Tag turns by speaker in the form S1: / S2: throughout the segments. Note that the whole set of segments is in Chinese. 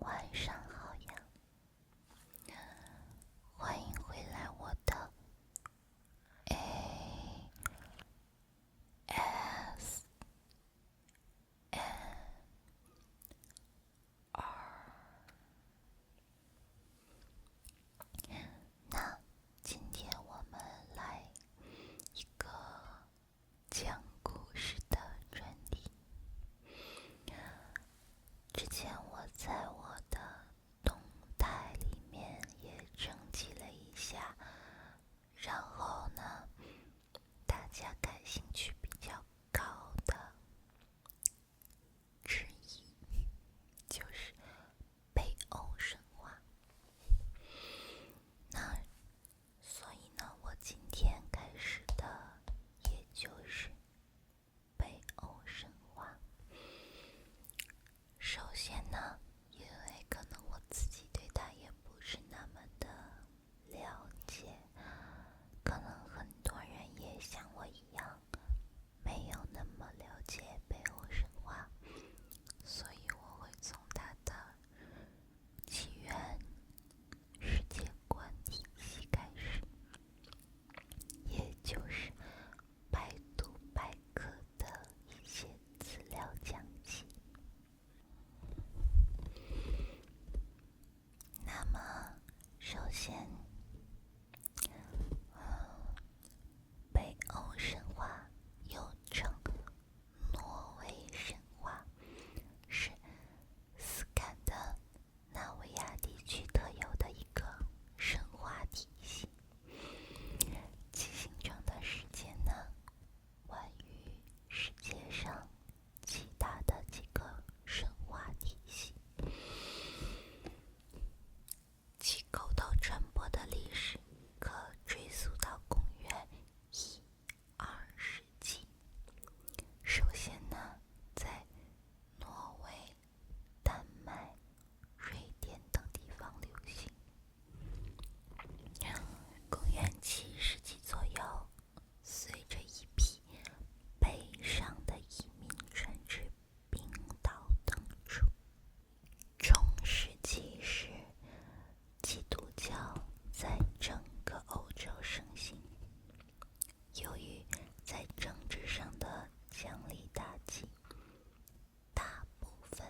S1: 晚上好呀，欢迎回来，我的 A S N R。那今天我们来一个讲故事的专题。之前我在我的动态里面也征集了一下，然后呢，大家感兴趣比较高的之一就是。北欧神话，那所以呢，我今天开始的也就是北欧神话。首先呢，因为可能我自己对它也不是那么的了解，可能很多人也像我一样。没有那么了解北欧神话，所以我会从它的起源、世界观体系开始，也就是百度百科的一些资料讲起。那么，首先。北欧神话，又称挪威神话，是斯堪的纳维亚地区特有的一个神话体系。其形成的时间呢，晚于世界上其他的几个神话体系。其口头传播的历史可追溯到公元一二世纪。首先呢，在挪威、丹麦、瑞典等地方流行。公元七世纪左右，随着一批北上的移民传至冰岛等处。中世纪时，基督教在整个欧洲盛行。由于在政治上的强力打击，大部分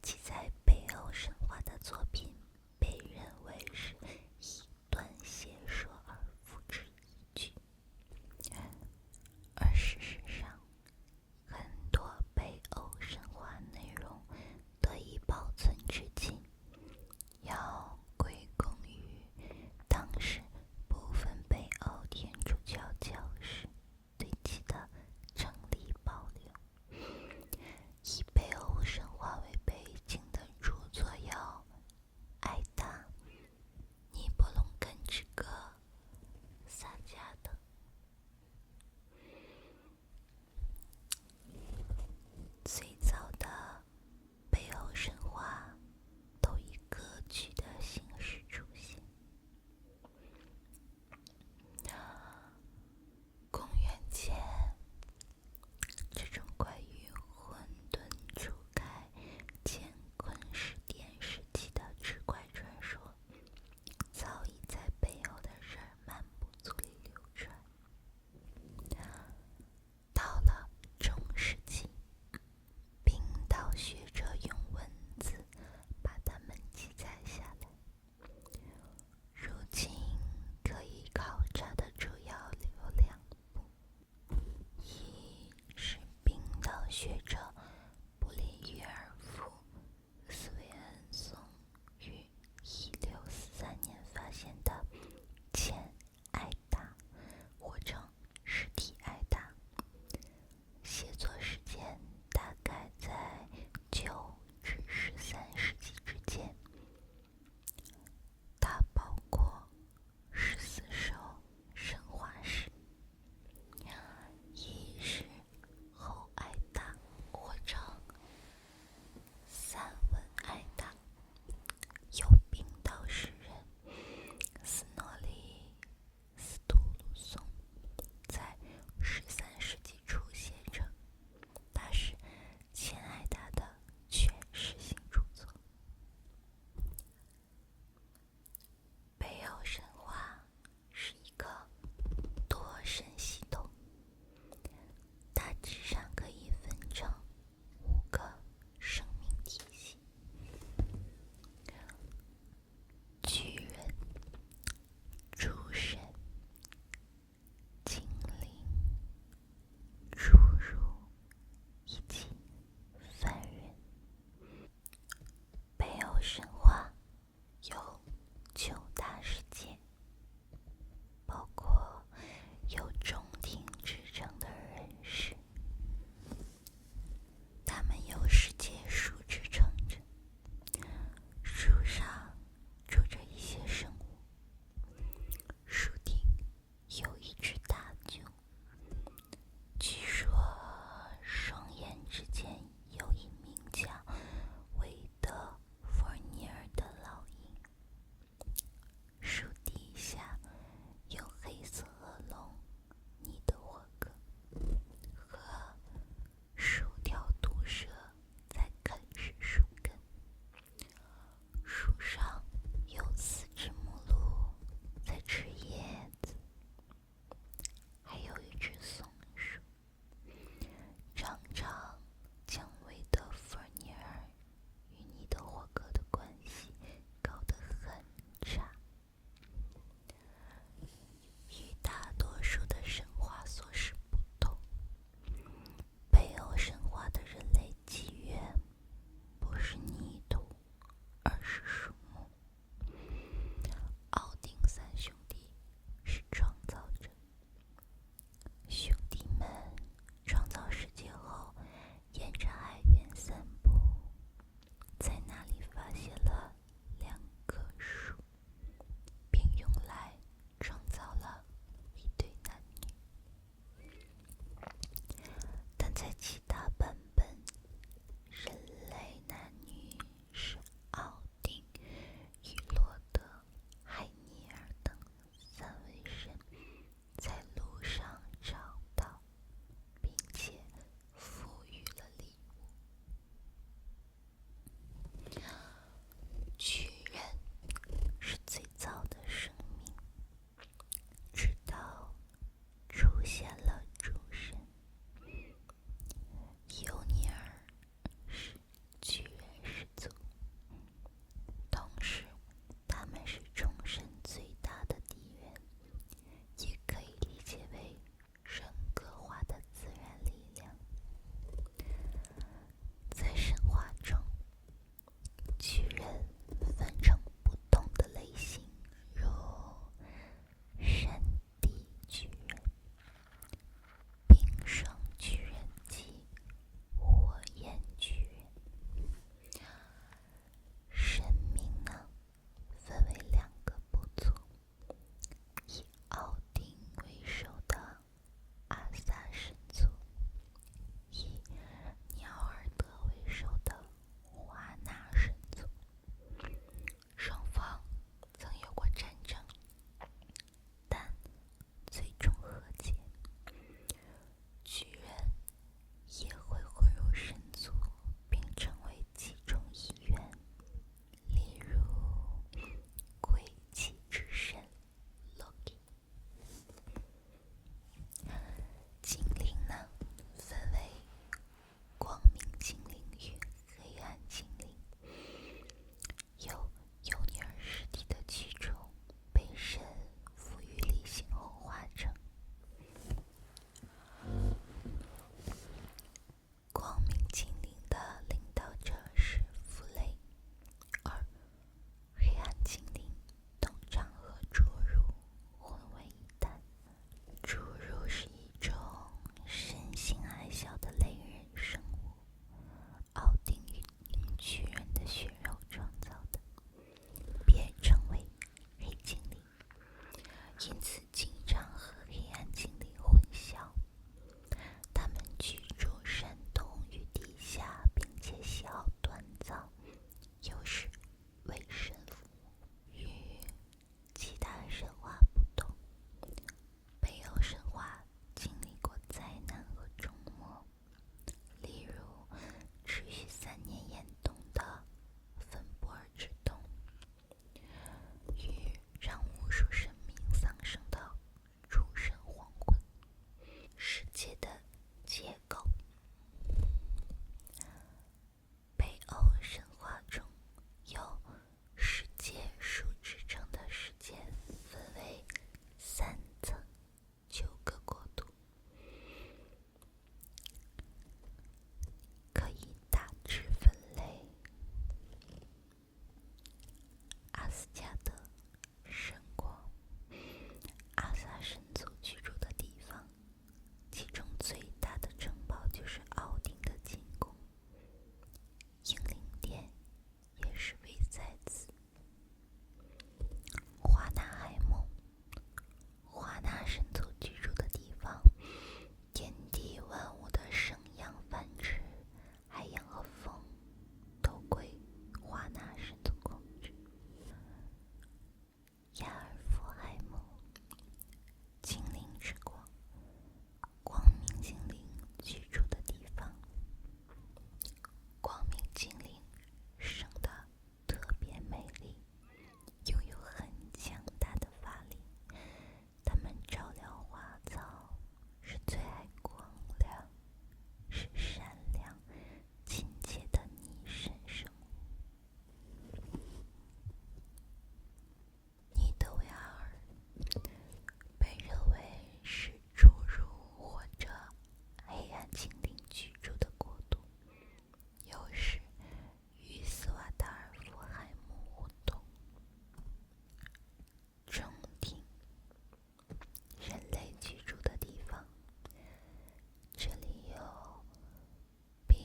S1: 记载北欧神话的作品被认为是以断言说而付之一炬，而事实上。很多北欧神话内容得以保存至今，要归功于当时部分北欧天主教教士对其的整理保留。以北欧神话为背景的著作有《埃达》《尼伯龙根之歌》。三家的最早的北欧神话，都以歌曲的形式出现。公元前，这种关于混沌初开、乾坤始奠时期的奇怪传说。早已在背后的人漫无足里流传。到了中世纪，冰岛学者用文字把它们记载下来。如今可以考察的主要有两部，一是冰岛学者。布里约尔夫·斯维恩松于1633年发现的《前爱达》，或称《实体爱达》，写作时间大概在九至十三世纪之间。它包括十四首神话诗。一是后爱达，或称散文爱达，由冰岛诗人斯诺里·斯图鲁松在十三世纪初写成，他是前爱达的全诗性著作。北欧神话是一个多神系统，大致上可以分成五个生命体系：巨人、诸神、精灵、侏儒以及凡人。北欧神话。有九大世界，包括有中庭之称的人士。他们有世界树支撑着，树上住着一些生物，树顶有一只大鹫。据说，双眼之间有一名叫韦德·弗尼尔的老鹰。树底下有黑色恶龙你的霍格和数条毒蛇在啃食树根。树上有四只母鹿在吃叶子。还有一只松鼠。常常，将维德·弗尼尔与你的霍格的关系搞得很差。与大多数的神话所示不同，北欧神话的人类起源不是泥土，而是树木。奥丁三兄弟是创造者。兄弟们创造世界后，沿着海边散步，在那里发现了两棵树，并用来创造了一对男女。但在其他版本，人类男女。是奥丁、雨洛德、海尼尔等三位神在路上找到，并且赋予了礼物。巨人是最早的生命，直到出现了主神。尤尼尔是巨人始祖，同时他们是众神最大的敌人，也可以理解为人格化的自然力量。在神话中，巨人分成不同的类型，如人。地巨冰霜巨人及火焰巨人。神明呢，分为两个部族：以奥丁为首的阿萨神族，以鸟耳德为首的华纳神族。双方曾有过战争，但最终和解。巨人也会混入神族，并成为其中一员，例如鬼泣之神 Loki。精灵呢，分为。光明精灵与黑暗精灵，由幼女尸体的蛆虫被神赋予理性后化成。光明精灵的领导者是弗雷。二，黑暗精灵通常和侏儒混为一谈。侏儒是一种身形矮小的类人生物，奥丁与巨人的血肉创造的，别称为黑精灵，因此经常和黑暗精灵混淆。他们居住山洞与地下，并且喜好锻造，有时为神父与。其他神话不同，北欧神话经历过灾难和众魔，例如持续三年严冬的芬博尔之冬，与让无数生命丧生的诸神黄昏世界的结构。北欧神话中有“世界树”之称的世界，分为三层九个国度，可以大致分类：阿斯加德神国，阿萨神族居住的地方，其中最大的城堡就是奥丁的寝宫。精灵殿也是位在此。华纳海姆，华纳神族居住的地方，天地万物的生养繁殖，海洋和风，都归华纳神族控制。亚尔夫海姆，精灵之国。光明精灵居住的地方。光明精灵生的特别美丽，拥有很强大的法力。他们照亮花草，是最爱光亮、是善良、亲切的你身上。尼德维尔被认为是侏儒或者黑暗精灵居住的国度，又是与斯瓦达尔福海姆互动、中庭、人类居住的地方。这里有。冰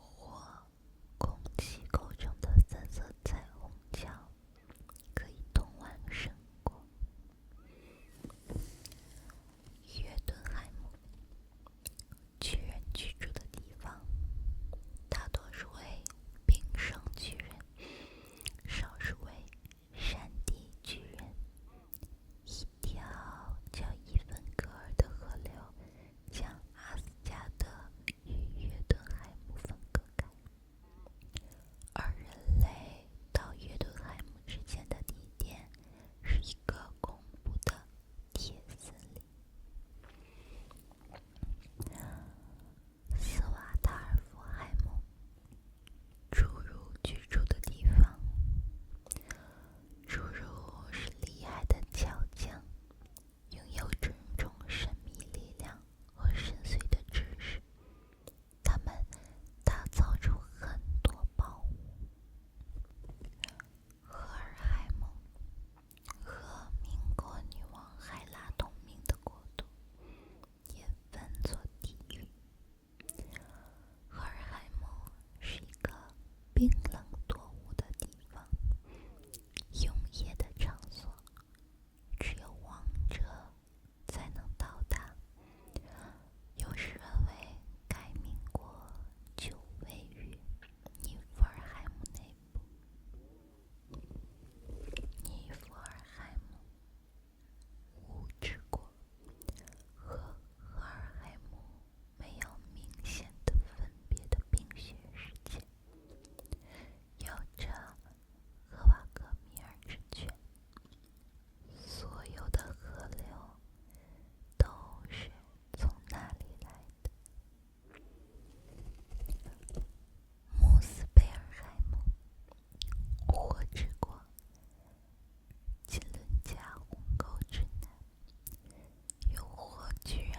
S1: 火攻击构成的三色彩虹桥可以通往圣国约顿海姆。巨人居住的地方，大多数为冰上巨人，少数为山地巨人。一条叫伊芬格尔的河流，将阿斯加德。与约顿海姆分隔开，而人类到约顿海姆之间的地点是一个恐怖的铁森林。斯瓦达尔福海姆，侏儒居住的地方。侏儒是厉害的强匠。拥有种种神秘力量和深邃的知识，他们打造出很多宝物。赫尔海姆和民国女王海拉同名的国度也分作地狱。赫尔海姆是一个冰冷多雾的地方。永夜的场所，只有王者才能到达。有时认为该民国就位于尼弗尔海姆内部。尼弗尔海姆，物质国和赫尔海姆没有明显的分别的冰雪世界。有着荷瓦格米尔之泉，所有的河流都是从哪里来的？穆斯贝尔海姆，火之国，金伦加湖沟之南。有火巨人、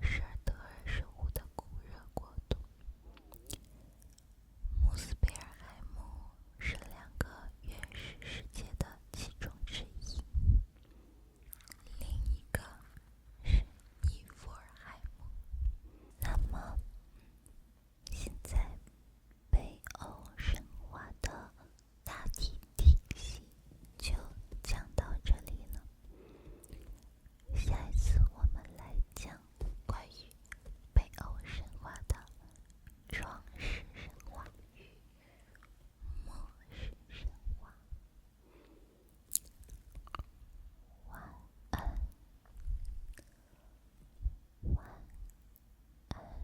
S1: 施尔德尔守护的炽热国度穆斯贝尔海姆是两个原始世界的其中之一，另一个是尼弗尔海姆。那么，现在北欧神话的大体体系就讲到这里了。下一次我们来讲关于北欧神话的创世神话与末世神话。晚安，晚安。